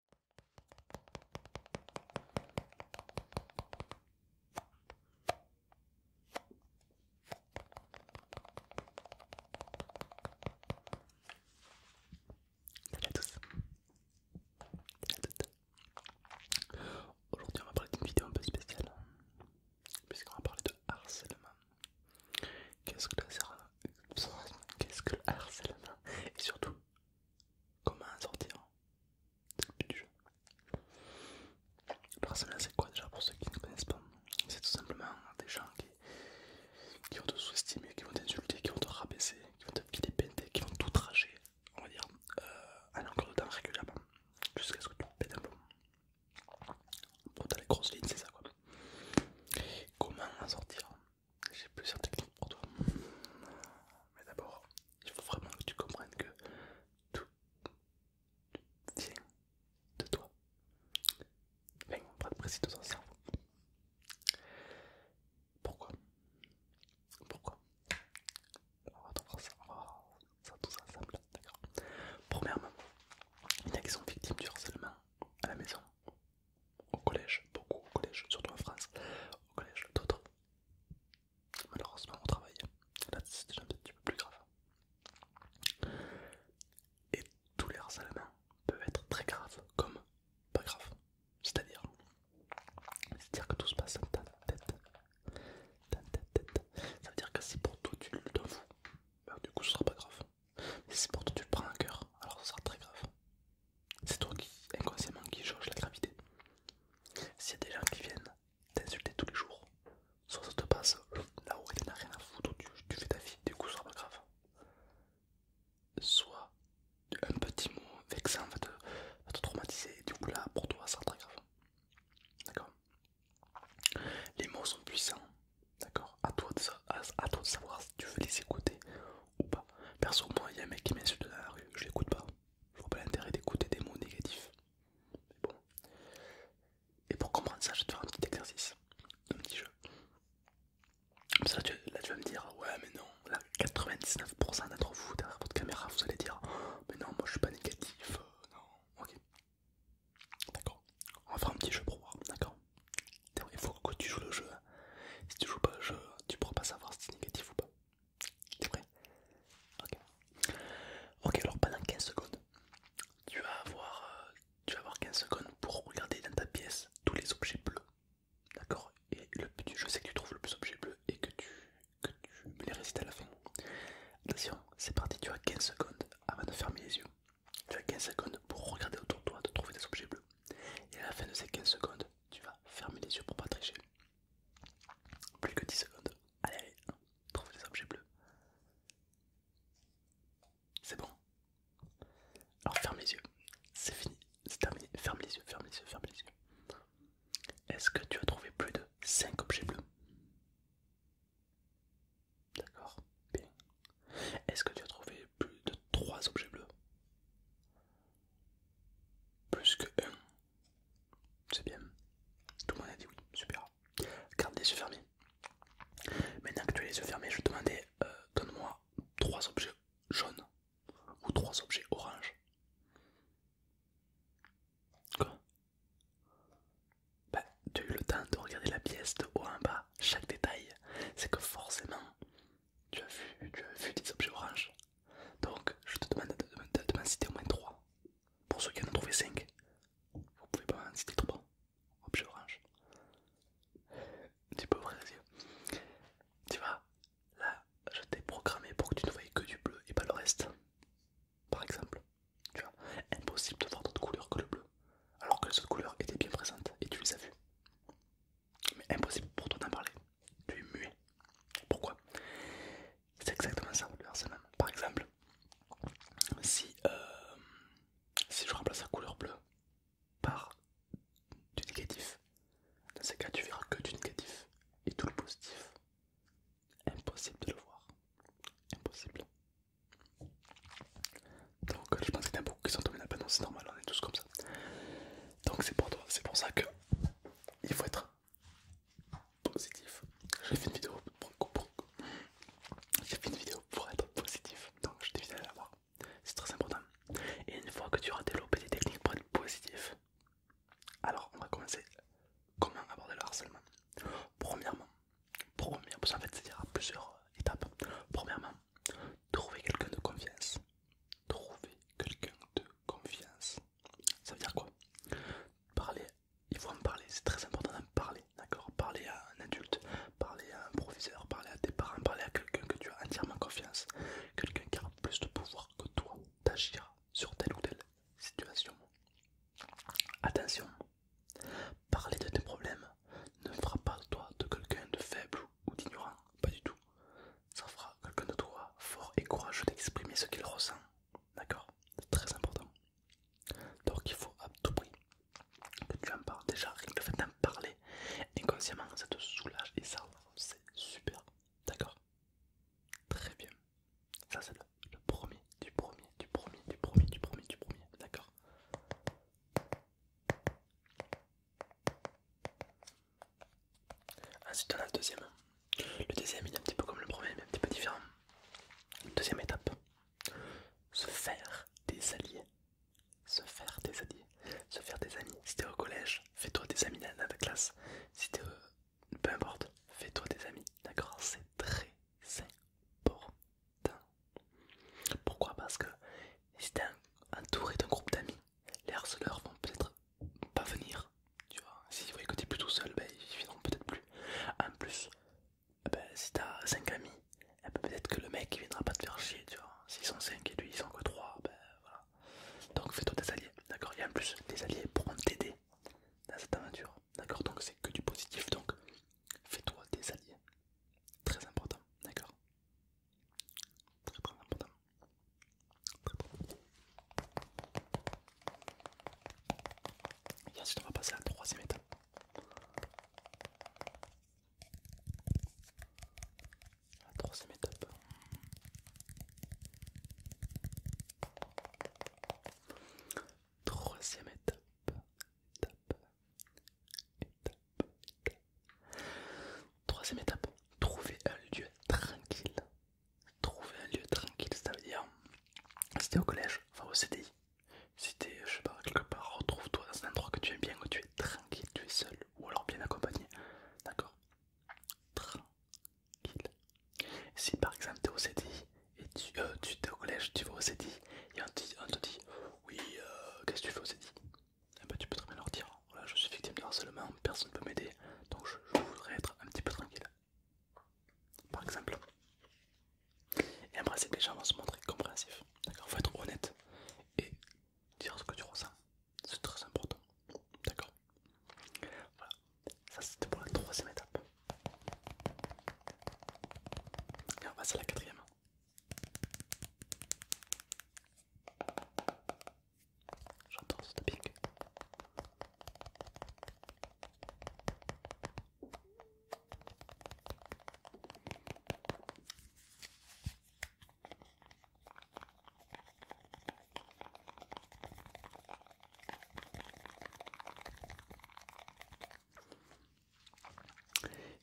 Salut à tous, Salut à toutes. Aujourd'hui, on va parler d'une vidéo un peu spéciale, puisqu'on va parler de harcèlement. Qu'est-ce que le, Qu'est-ce que le harcèlement Et surtout, comment en sortir c'est le but du jeu. c'est quoi déjà pour ceux qui ne connaissent pas C'est tout simplement des gens qui, vont te sous-estimer, qui vont t'insulter, qui vont te rabaisser, qui vont te filer péter, qui vont tout tracher on va dire, euh, à en encore de temps régulièrement, jusqu'à ce que tu pètes un peu Bon, t'as les grosses lignes, c'est ça quoi. Comment en sortir J'ai plusieurs techniques pour toi. Mais d'abord, il faut vraiment que tu comprennes que tout vient de toi. on va être précis de ton cerveau. Pourquoi Pourquoi On va voir ça, on va voir ça tous ensemble, d'accord Premièrement, il y en a qui sont victimes du harcèlement à la maison, au collège, beaucoup au collège, surtout en France, au collège, d'autres malheureusement au travail. Là, c'est déjà un petit peu plus grave. Et tous les main peuvent être très graves comme pas grave C'est-à-dire, dire que tout se passe en ta tête. tête, Ça veut dire que si pour toi tu le t'en vous du coup ce sera pas grave. Mais si pour toi tu le prends à cœur, alors ce sera très grave. C'est toi qui, inconsciemment, qui change la gravité. S'il y a des gens qui viennent t'insulter tous les jours, soit ça te passe là où il n'a rien à foutre, tu, fais ta vie, du coup, ça sera pas grave. Soit un petit mot vexant va te, traumatiser, du coup, là, pour toi, ça sera très grave. D'accord Les mots sont puissants, d'accord à, toi de savoir si tu veux les écouter ou pas. Perso, moi, il y a un mec qui m'insulte dans la rue, je l'écoute pas. Je vois pas l'intérêt d'écouter des mots négatifs. Mais bon. Et pour comprendre ça, je vais te faire un petit exercice, un petit jeu. ça, là tu, vas me dire, ouais, mais non, là, 99% d'entre vous derrière votre caméra, vous allez dire, mais non, moi je suis pas négatif, euh, non, ok. D'accord, on va faire un petit jeu pour voir, d'accord Il faut que tu joues le jeu. Hein. Si tu joues pas le jeu, tu pourras pas savoir si c'est négatif ou pas, T'es prêt Ok. alors pendant 15 secondes, tu vas avoir, euh, tu vas avoir 15 secondes pour regarder dans ta pièce tous les objets bleus. D'accord Et le, je sais que tu trouves le plus d'objets bleus et que tu, me les récites à la fin. Attention, c'est parti, tu as 15 secondes avant de fermer les yeux. Tu as 15 secondes pour regarder autour de toi, de trouver des objets bleus. Et à la fin de ces 15 secondes, tu vas fermer les yeux pour pas tricher. Plus que 10 secondes. Allez, allez, trouve des objets bleus. C'est bon. Alors ferme les yeux. C'est fini. C'est terminé. Ferme les yeux, ferme les yeux, ferme les yeux. Est-ce que tu as trouvé plus de 5 objets bleus D'accord. Bien. Est-ce que tu as trouvé plus de 3 objets bleus Plus que 1. C'est bien. Tout le monde a dit oui, super. Garde les yeux fermés. Maintenant que tu as les yeux fermés, je vais te demander euh, donne-moi trois objets jaunes ou trois objets oranges. Quoi Bah, tu as eu le temps de regarder la pièce de haut en bas, chaque détail. C'est que forcément, tu as vu, tu as vu des objets oranges. Donc je te demande de, m'en citer au moins 3. Pour ceux qui en ont trouvé 5, vous pouvez pas en citer 3. Objet orange. Tu peux ouvrir les yeux. Tu vois, là je t'ai programmé pour que tu ne voyais que du bleu et pas le reste. Par exemple. Tu vois, impossible de voir d'autres couleurs que le bleu. Alors que les autres couleurs étaient bien présentes et tu les as vues. Mais impossible pour toi d'en parler tu es muet. Pourquoi C'est exactement ça Par exemple, si, euh, si je remplace la couleur bleue par du négatif, dans ces cas tu verras que du négatif et tout le positif. Impossible de le voir. Impossible. Donc je pense qu'il y en a beaucoup qui sont tombés dans la c'est normal, on est tous comme ça. Donc c'est pour toi, c'est pour ça que il faut être positif. J'ai fait une vidéo pour, être positif, donc je t'évite d'aller la voir. C'est très important. Et une fois que tu auras développé des techniques pour être positif, alors on va commencer comment aborder le harcèlement. Premièrement, première, parce fait c'est à plusieurs étapes. Premièrement, trouver quelqu'un de confiance. Trouver quelqu'un de confiance. Ça veut dire quoi Parler, il faut en parler, c'est très important d'en parler, d'accord Parler à un adulte, parler à un professeur, parler à tes parents, parler à quelqu'un que tu as entièrement confiance, quelqu'un qui a plus de pouvoir que toi d'agir sur telle ou telle situation. Attention, parler de tes problèmes ne fera pas de toi de quelqu'un de faible ou d'ignorant, pas du tout ça fera quelqu'un de toi fort et courageux d'exprimer ce qu'il ressent. D'accord C'est très important. Donc il faut à tout prix que tu en parles. Déjà, rien que le fait d'en parler inconsciemment, ça te soulage et ça, c'est super. D'accord Très bien. Ça, c'est le, le premier, du premier, du premier, du premier, du premier, du premier. D'accord Ensuite, on a le deuxième. Le deuxième, il est un petit peu comme le premier, mais un petit peu différent. Deuxième étape se faire des alliés. Se faire des alliés. Se faire des amis. Si t'es au collège, fais-toi des amis dans ta classe. Si euh, peu importe, fais-toi des amis. D'accord C'est très important. Pourquoi Parce que si t'es entouré d'un groupe d'amis, les harceleurs vont peut-être pas venir, tu vois. S'ils voient plus tout seul, ben, ils viendront peut-être plus. En plus, eh ben, si t'as 5 amis, eh ben, peut-être que le mec ne viendra pas te faire chier, tu vois. S'ils sont 5 et lui ils sont que 3, ben voilà. Donc fais-toi des alliés, d'accord Et en plus, les alliés pourront t'aider dans cette aventure, d'accord Donc c'est que du positif, donc fais-toi des alliés. Très important, d'accord Très très important. Et ensuite, on va passer à la troisième étape. troisième étape. Troisième étape. Troisième étape. Trouver un lieu tranquille trouver un lieu tranquille, ça veut dire si t'es au collège, enfin au CDI. Si t'es, je sais pas, quelque part, retrouve-toi dans un endroit que tu aimes bien, où tu es tranquille, tu es seul ou alors bien accompagné. D'accord Tranquille. Si par exemple t'es au CDI et tu, euh, au collège, tu vas au CDI et on te, dit oui, euh, qu'est-ce que tu fais au CDI et eh ben, tu peux très bien leur dire, voilà, je suis victime de harcèlement, personne ne peut m'aider, donc je, voudrais être un petit peu tranquille, par exemple. Et en principe, les gens vont se montrer compréhensifs, d'accord Faut être honnête et dire ce que tu ressens, c'est très important, d'accord Voilà, ça c'était pour la troisième étape. Et on passe à la quatrième. J'entends ce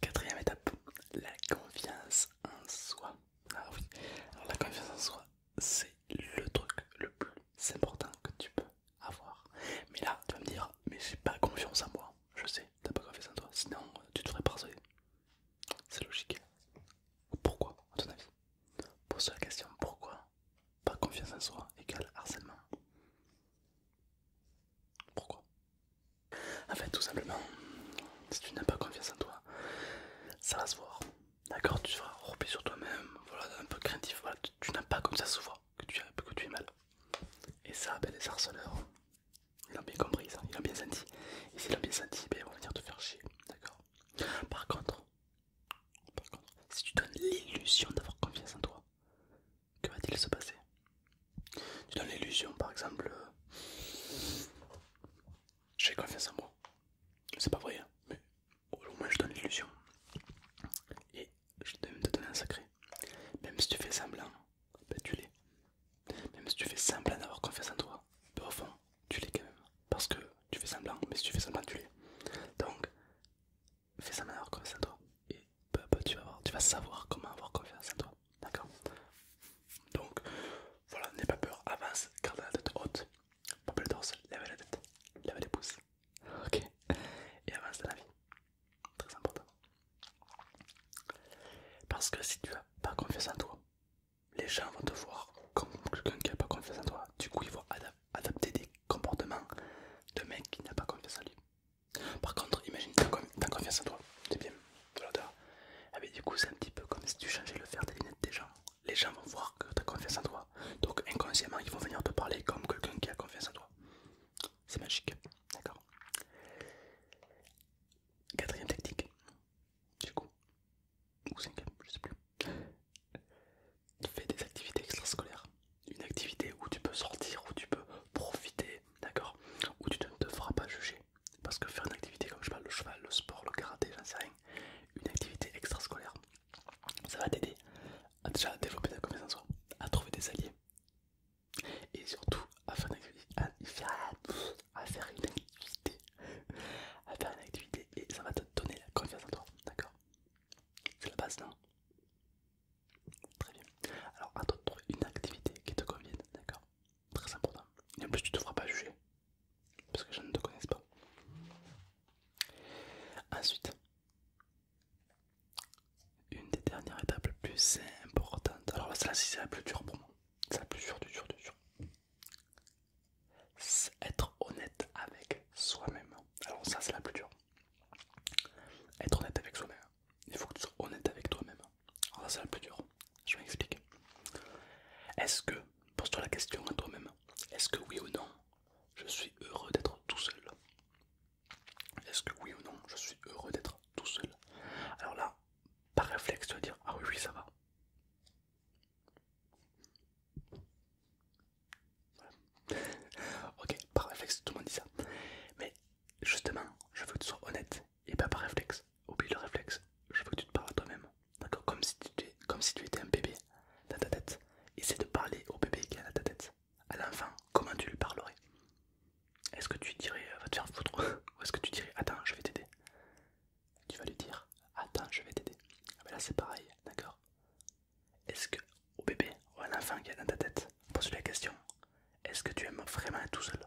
Quatrième étape, la confiance en soi. Ah oui, la confiance en soi, c'est le truc le plus important que tu peux avoir. Mais là, tu vas me dire, mais j'ai pas confiance en moi. Je sais, t'as pas confiance en toi, sinon euh, tu te ferais C'est logique. Pourquoi, à ton avis Pose la question, pourquoi pas confiance en soi égale harcèlement Pourquoi En fait, tout simplement, si tu n'as pas confiance en toi, ça va se voir. D'accord, tu seras repris sur toi-même, voilà, un peu craintif, tu, n'as pas comme ça souvent que tu, es mal. Et ça, ben, les harceleurs, ils l'ont bien compris, ça, ils l'ont bien senti. Et s'ils l'ont bien senti, ben, ils vont venir te faire chier, d'accord par contre, par contre, si tu donnes l'illusion d'avoir confiance en toi, que va-t-il se passer Tu donnes l'illusion, par exemple, euh, j'ai confiance en moi. C'est pas vrai, hein, mais au moins je donne l'illusion. Et je vais même te donner un sacré. Même si tu fais semblant, ben, tu l'es. Même si tu fais semblant d'avoir confiance en toi, ben, au fond, tu l'es quand même. Parce que tu fais semblant, mais si tu fais semblant, tu l'es. Donc, fais semblant d'avoir confiance en toi. Et peu à peu, tu vas, voir tu vas savoir comment avoir confiance en toi. D'accord Donc, voilà, n'aie pas peur, avance, garde la tête haute. Pompe le torse, lève la tête, lève les pouces. Ok. Et avance dans la vie. Très important. Parce que si tu as pas confiance en toi, les gens vont te voir comme quelqu'un qui n'a pas confiance en toi. Du coup, ils vont adapter des comportements de mec qui n'a pas confiance en lui. Par contre, imagine que tu as confiance en toi. C'est bien. Voilà, ah, mais du coup, c'est un petit peu comme si tu changeais le fer des lunettes des gens les gens vont voir que tu as confiance en toi. Donc inconsciemment, ils vont venir te parler comme quelqu'un qui a confiance en toi. C'est magique. D'accord Quatrième technique. Du coup. Ou cinquième, je sais plus. fais des activités extrascolaires. Une activité où tu peux sortir, où tu peux profiter, d'accord Où tu ne te feras pas juger. Parce que faire une activité comme je parle, le cheval, le sport, le karaté, j'en sais rien, une activité extrascolaire. Ça va t'aider à déjà développer ta toi à trouver des alliés et surtout à faire, à à faire une activité, à faire une activité et ça va te donner la confiance en toi, d'accord C'est la base, non Très bien. Alors à toi de trouver une activité qui te convienne, d'accord Très important. Et en plus tu ne te feras pas juger, parce que je ne te connaisse pas. Ensuite, une des dernières étapes plus importantes. Alors là, c'est la plus dure pour moi. C'est la plus dure, du dur, Être honnête avec soi-même. Alors ça, c'est la plus dure. Être honnête avec soi-même. Il faut que tu sois honnête avec toi-même. Alors ça, c'est la plus dure. Je m'explique. Est-ce que, pose-toi la question à toi-même, est-ce que oui ou non, je suis heureux d'être tout seul Est-ce que oui ou non, je suis heureux d'être tout seul Alors là, par réflexe, tu vas dire Ah oui, oui, ça va. ok, par réflexe, tout le monde dit ça. Mais justement, je veux que tu sois honnête et pas par réflexe. Oublie le réflexe, je veux que tu te parles à toi-même d'accord comme, si comme si tu étais un bébé dans ta tête. Essaie de parler au bébé qui est dans ta tête. À l'enfant, comment tu lui parlerais Est-ce que tu dirais euh, va te faire foutre Ou est-ce que tu dirais attends, je vais t'aider Tu vas lui dire attends, je vais t'aider. Ah, là c'est pareil, d'accord Est-ce que au bébé ou à l'enfant qui est dans ta tête, pose-lui la question est-ce que tu aimes vraiment être tout seul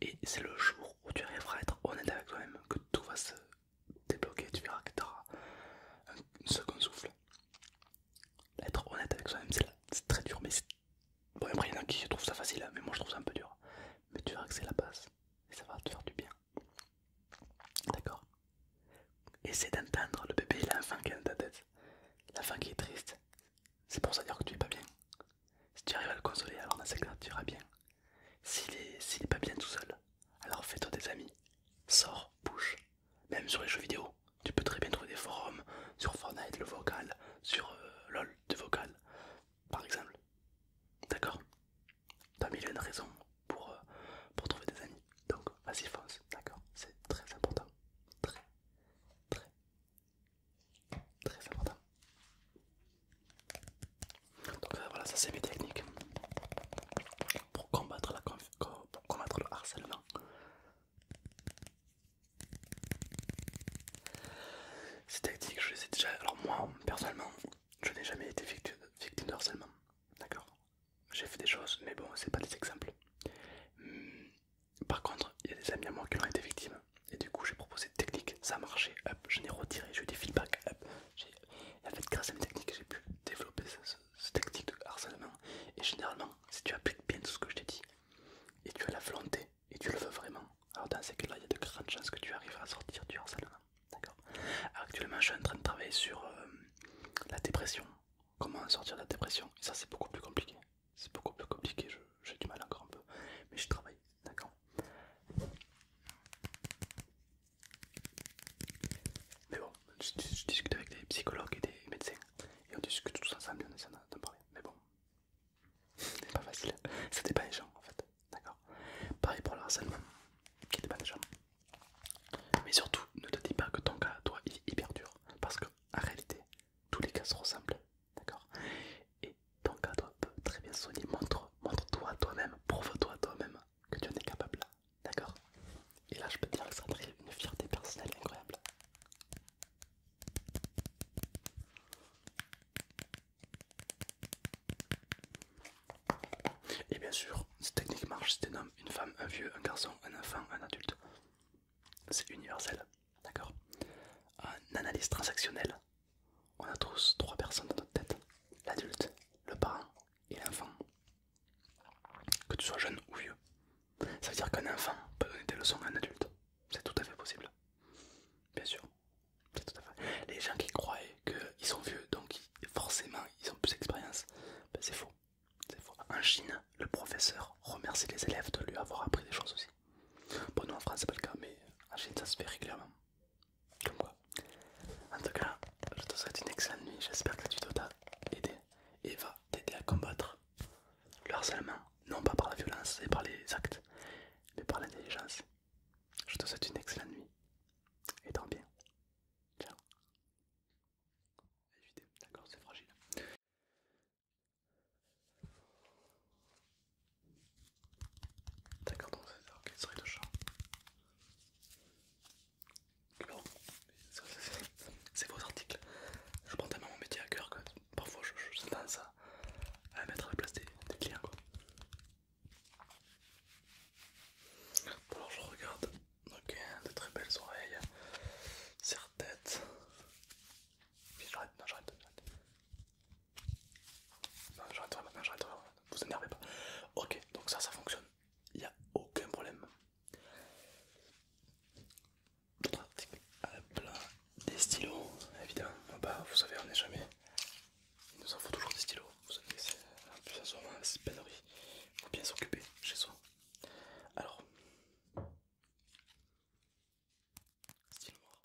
et c'est le jour où tu arriveras à être honnête avec toi-même que tout va se débloquer. Tu verras que tu auras un second souffle. Être honnête avec soi-même, c'est très dur. Mais bon, après, il y en a qui trouvent ça facile, hein, mais moi je trouve ça un peu dur. Mais tu verras que c'est la base et ça va te faire du bien. D'accord Essaie d'entendre le bébé, l'enfant qui est dans ta tête. L'enfant qui est triste. C'est pour ça dire que tu es pas bien. Si tu arrives à le consoler, alors dans ces tu iras bien. S'il n'est pas bien tout seul, alors fais-toi des amis. Sors, bouge. Même sur les jeux vidéo, tu peux très bien trouver des forums sur Fortnite, le vocal, sur euh, LOL, de vocal, par exemple. D'accord T'as mille une raisons pour, euh, pour trouver des amis. Donc, vas-y, fonce. D'accord C'est très important. Très, très Très important. Hein. Donc euh, voilà, ça c'est mes techniques pour combattre, la pour combattre le harcèlement. Ces techniques, je les ai déjà. Alors, moi personnellement, je n'ai jamais été victime de harcèlement. D'accord J'ai fait des choses, mais bon, c'est pas des exemples. Hum, par contre, il y a des amis à moi qui ont été victimes et du coup, j'ai proposé une technique, ça a marché, hop, je l'ai retiré, j'ai eu des feedbacks, en fait, grâce à une technique j'ai pu développer cette technique de harcèlement. Et généralement, si tu appliques bien tout ce que je t'ai dit, et tu as la volonté, et tu le veux vraiment, alors dans ces cas-là, il y a de grandes chances que tu arrives à sortir du harcèlement. D'accord Actuellement, je suis en train de travailler sur euh, la dépression. Comment sortir de la dépression Et ça, c'est beaucoup plus compliqué. C'est beaucoup plus compliqué, j'ai du mal encore un peu. Mais je travaille, d'accord mais bon, je, discute avec des psychologues et des médecins et on discute tous ensemble et on essaye d'en parler. Mais bon, c'est pas facile, ça pas des gens en fait, d'accord Pareil pour le harcèlement, qui dépend des gens. Mais surtout, ne te dis pas que ton cas, toi, il est hyper dur parce qu'en réalité, tous les cas se ressemblent, d'accord ton cadre peut très bien sonner. Montre-toi montre à toi-même, prouve-toi à toi-même que tu en es capable. D'accord Et là, je peux te dire que ça une fierté personnelle incroyable. Et bien sûr, cette technique marche si tu homme, une femme, un vieux, un garçon, un enfant, un adulte. C'est universel, d'accord Un analyse transactionnelle, on a tous trois personnes dans notre tête. L'adulte, le parent et l'enfant. Que tu sois jeune ou vieux. Ça veut dire qu'un enfant peut donner des leçons à un adulte. C'est tout à fait possible. Bien sûr. Les gens qui croient qu'ils sont vieux, donc forcément ils ont plus d'expérience, ben, c'est faux. faux. En Chine, le professeur remercie les élèves de lui avoir appris des choses aussi. Bon, nous en France, c'est pas le cas, mais en Chine, ça se fait régulièrement. En tout cas, je te souhaite une excellente nuit. J'espère que tu tuto t'a aidé et va t'aider à combattre le harcèlement, non pas par la violence et par les actes, mais par l'intelligence. Je te souhaite une excellente nuit et tant bien. Ciao. c'est D'accord, donc c'est ok, souris de chat. c'est vos articles. Je prends tellement mon métier à cœur quoi. parfois je, je tendance à, mettre à la place des, clients. Quoi. alors je regarde. Ok, de très belles oreilles, serre-tête. J'arrête, non, j'arrête. J'arrête maintenant. j'arrête maintenant, vous énervez pas. Ok, donc ça, ça fonctionne, il n'y a aucun problème. D'autres articles, ah, la des stylos, évidemment, ah bah, vous savez, on n'est jamais. Il nous en faut toujours des stylos, vous savez, c'est en ce moment, c'est pénurie, il faut bien s'occuper chez soi. Alors, stylo noir.